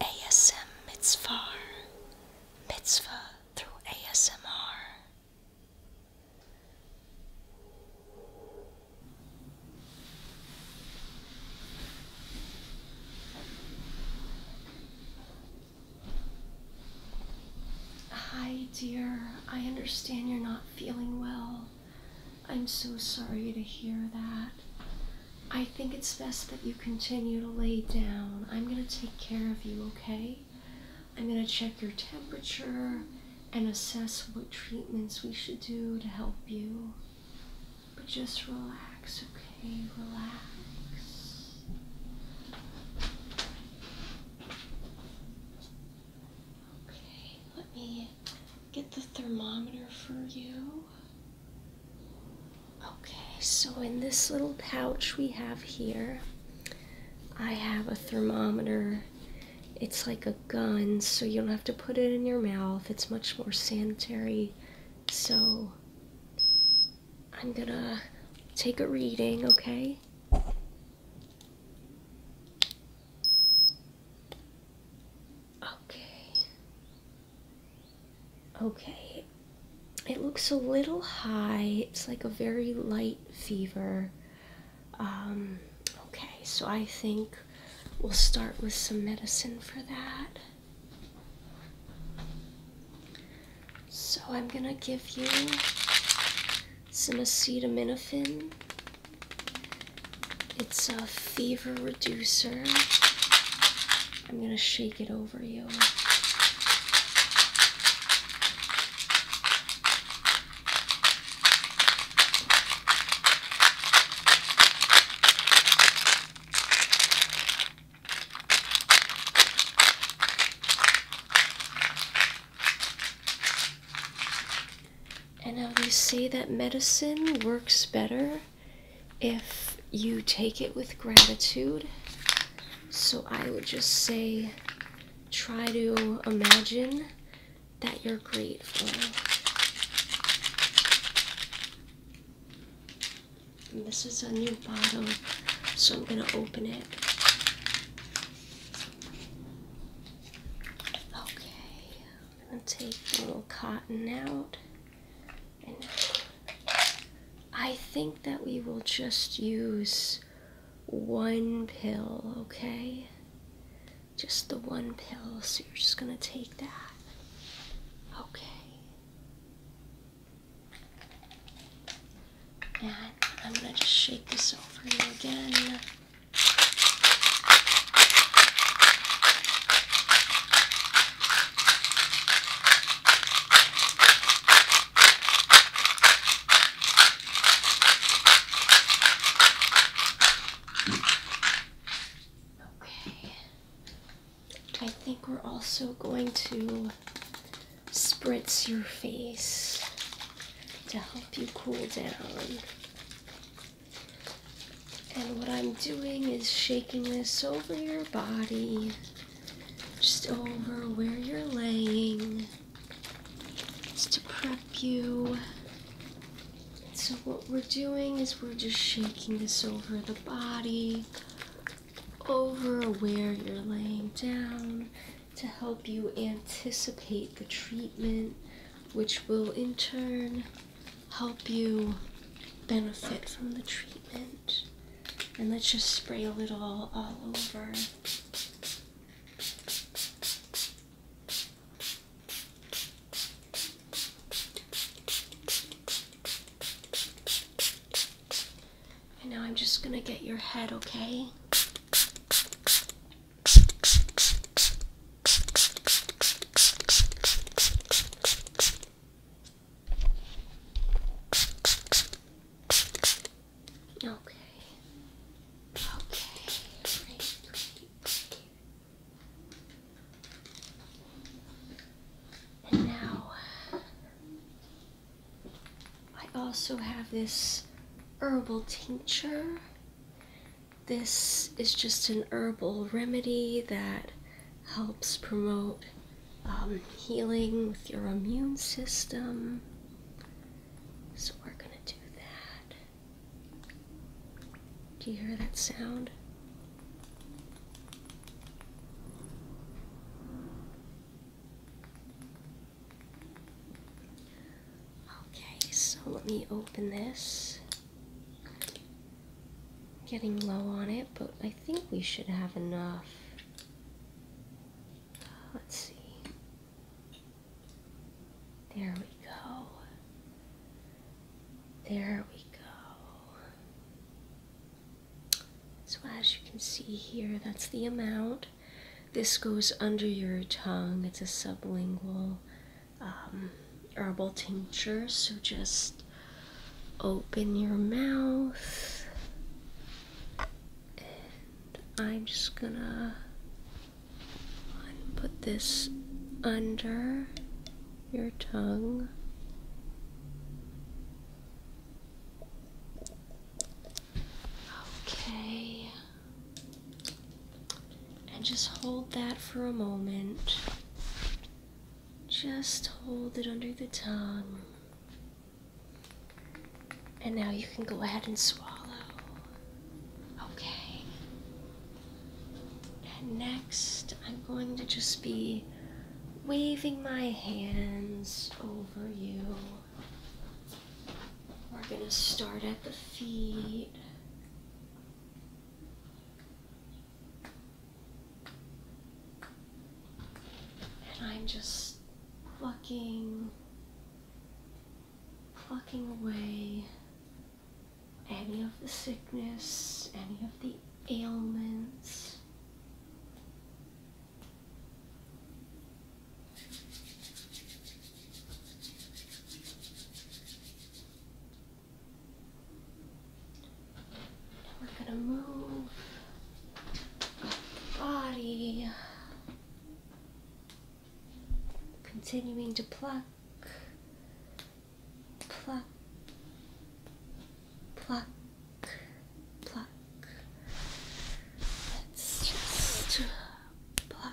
ASM Mitzvah, Mitzvah through ASMR. Hi, dear. I understand you're not feeling well. I'm so sorry to hear that. I think it's best that you continue to lay down. I'm going to take care of you, okay? I'm going to check your temperature and assess what treatments we should do to help you. But just relax, okay? Relax. Okay, let me get the thermometer for you. Okay, so in this little pouch we have here, I have a thermometer. It's like a gun, so you don't have to put it in your mouth. It's much more sanitary. So I'm gonna take a reading, okay? Okay. Okay, it looks a little high. It's like a very light fever. Um, okay, so I think we'll start with some medicine for that. So I'm gonna give you some acetaminophen. It's a fever reducer. I'm going to shake it over you. And now they say that medicine works better if you take it with gratitude. So I would just say try to imagine that you're grateful. this is a new bottle, so I'm going to open it. Okay. I'm going to take a little cotton out. I think that we will just use one pill, okay? Just the one pill, so you're just going to take that. Okay. And I'm going to just shake this over you again. Okay. I think we're also going to spritz your face to help you cool down. And what I'm doing is shaking this over your body, just over where you're laying, just to prep you. So, what we're doing is we're just shaking this over the body, over where you're laying down, to help you anticipate the treatment, which will in turn help you benefit from the treatment. And let's just spray a little all over. And now I'm just going to get your head, okay? Okay. Okay. And now I also have this herbal tincture this is just an herbal remedy that helps promote um, healing with your immune system. So we're going to do that. Do you hear that sound? Okay, so let me open this. getting low on it, but I think we should have enough. Let's see. There we go. There we go. So as you can see here, that's the amount. This goes under your tongue. It's a sublingual um, herbal tincture. So just open your mouth, and I'm just gonna put this under your tongue. Okay. And just hold that for a moment. Just hold it under the tongue. And now you can go ahead and swallow. Okay. next, I'm going to just be waving my hands over you. We're going to start at the feet. And I'm just plucking, plucking away any of the sickness, any of the ailments. We're gonna move our body, continuing to pluck, pluck, pluck, pluck. Let's just pluck,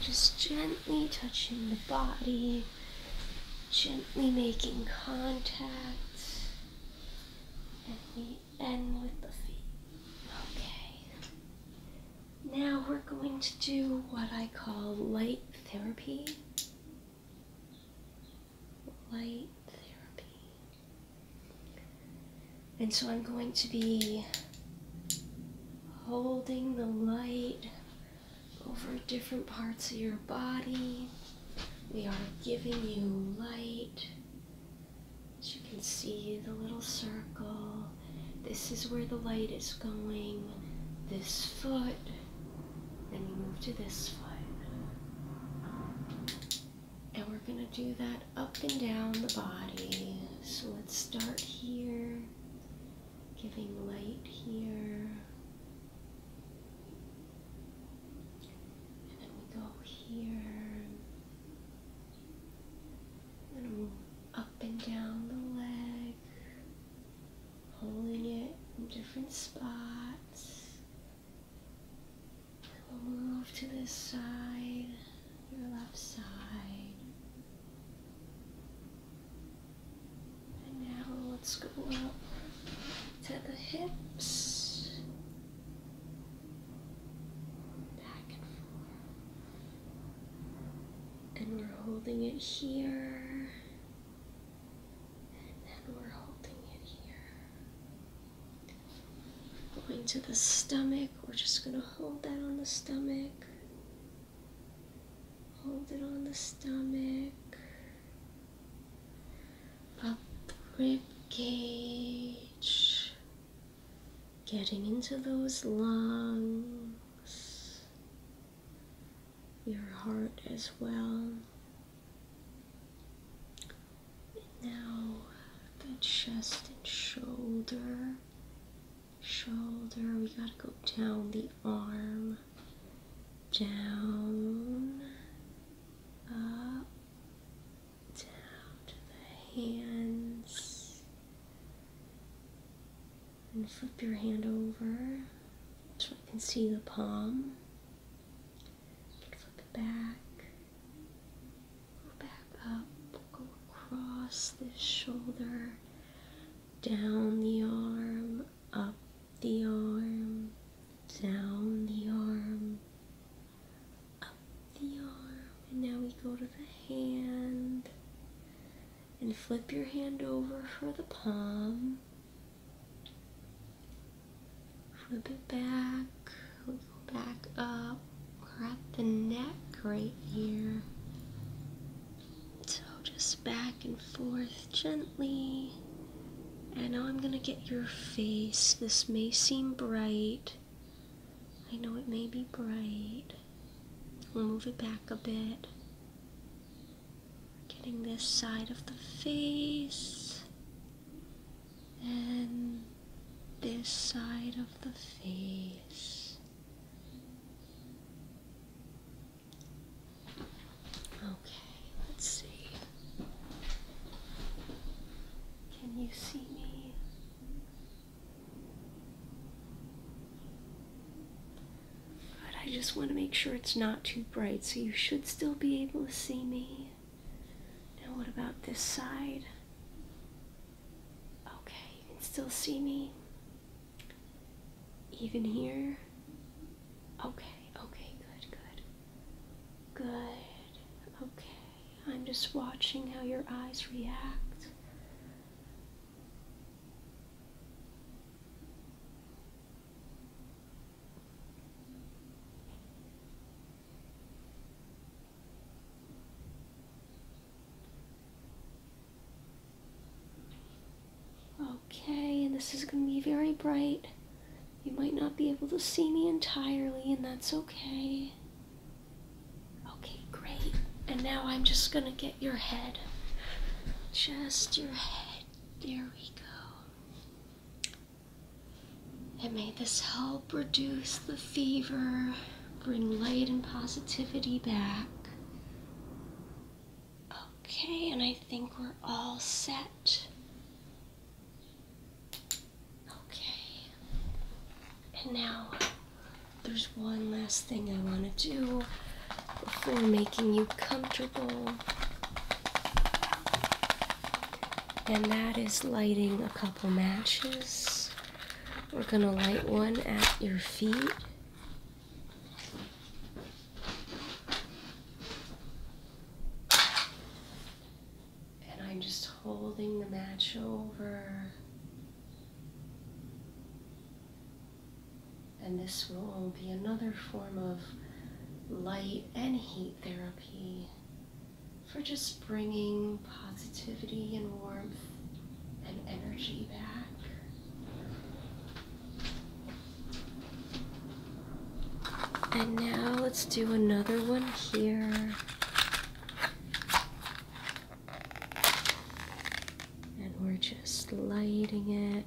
just gently touching the body, gently making contact, and we end with the feet. Okay. Now we're going to do what I call light therapy light therapy. And so I'm going to be holding the light over different parts of your body. We are giving you light. As you can see, the little circle. This is where the light is going. This foot. Then you move to this foot. And we're going to do that up and down the body. So let's start here, giving light here. And then we go here. And up and down the leg, holding it in different spots. We'll move to this side, your left side. And now let's go up to the hips. Back and forth. And we're holding it here. And then we're holding it here. Going to the stomach, we're just going to hold that on the stomach. Hold it on the stomach. Up rib cage. Getting into those lungs. Your heart as well. Now the chest and shoulder. Shoulder, we gotta go down the arm, down, up, down to the hands, and flip your hand over so I can see the palm flip it back. Go back up. Go across this shoulder. Down the arm. Up the arm. Down the arm. Up the arm. And now we go to the hand. And flip your hand over for the palm. Flip it back. go back up. we the neck right here. So just back and forth gently. And now I'm gonna get your face. This may seem bright. I know it may be bright. We'll move it back a bit. Getting this side of the face and this side of the face. Okay, let's see. Can you see me? But I just want to make sure it's not too bright, so you should still be able to see me. Now, what about this side? Okay, you can still see me. Even here? Okay, okay, good, good. Good, okay. I'm just watching how your eyes react. Okay, and this is going to be very bright. You might not be able to see me entirely, and that's okay. Okay, great. And now I'm just going to get your head. Just your head. There we go. And may this help reduce the fever, bring light and positivity back. Okay, and I think we're all set. Okay. And now there's one last thing I want to do before making you comfortable. And that is lighting a couple matches. We're going to light one at your feet. And I'm just holding the match over and this will be another form of light and heat therapy for just bringing positivity and warmth and energy back. And now let's do another one here. And we're just lighting it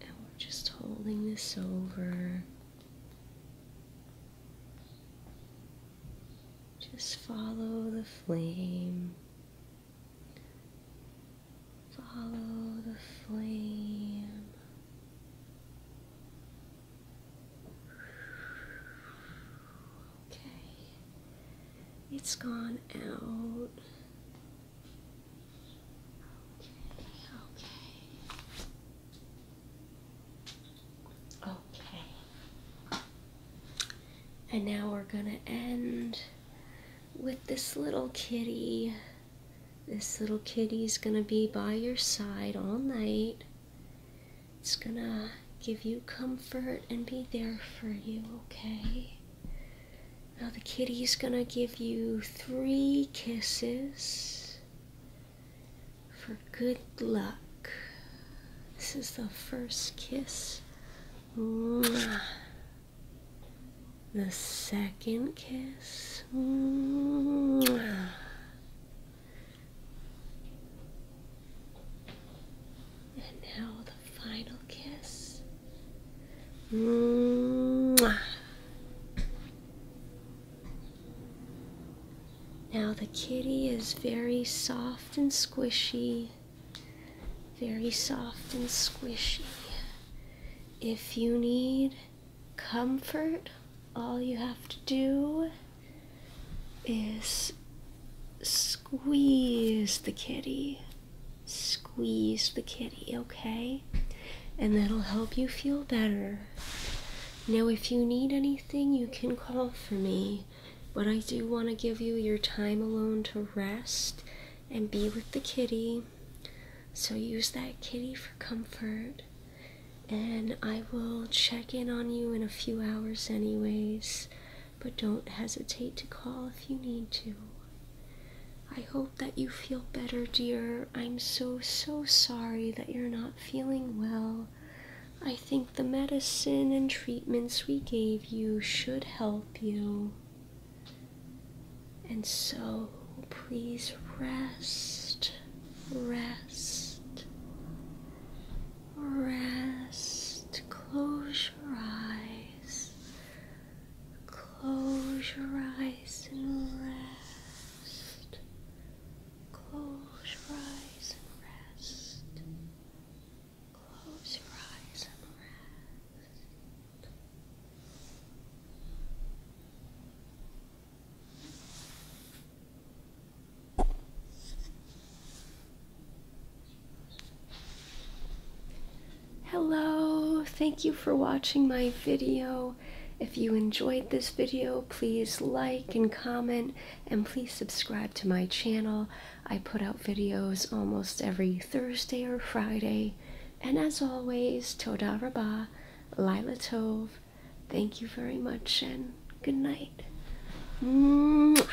and we're just holding this over. Just follow the flame. Follow the flame. Okay. It's gone out. Okay, okay. Okay. And now we're gonna end with this little kitty. This little kitty's gonna be by your side all night. It's gonna give you comfort and be there for you, okay? Now the kitty's gonna give you three kisses for good luck. This is the first kiss. The second kiss. And now the final kiss. Now the kitty is very soft and squishy. Very soft and squishy. If you need comfort, all you have to do is squeeze the kitty squeeze the kitty, okay? And that'll help you feel better. Now, if you need anything, you can call for me, but I do want to give you your time alone to rest and be with the kitty. So use that kitty for comfort. And I will check in on you in a few hours, anyways but don't hesitate to call if you need to. I hope that you feel better, dear. I'm so, so sorry that you're not feeling well. I think the medicine and treatments we gave you should help you. And so, please rest, rest, rest. Close your eyes. Close your eyes and rest. Close your eyes and rest. Close your eyes and rest. Hello, thank you for watching my video. If you enjoyed this video, please like and comment and please subscribe to my channel. I put out videos almost every Thursday or Friday. And as always, Toda Rabah, Lila Tov. Thank you very much and good night. Mwah.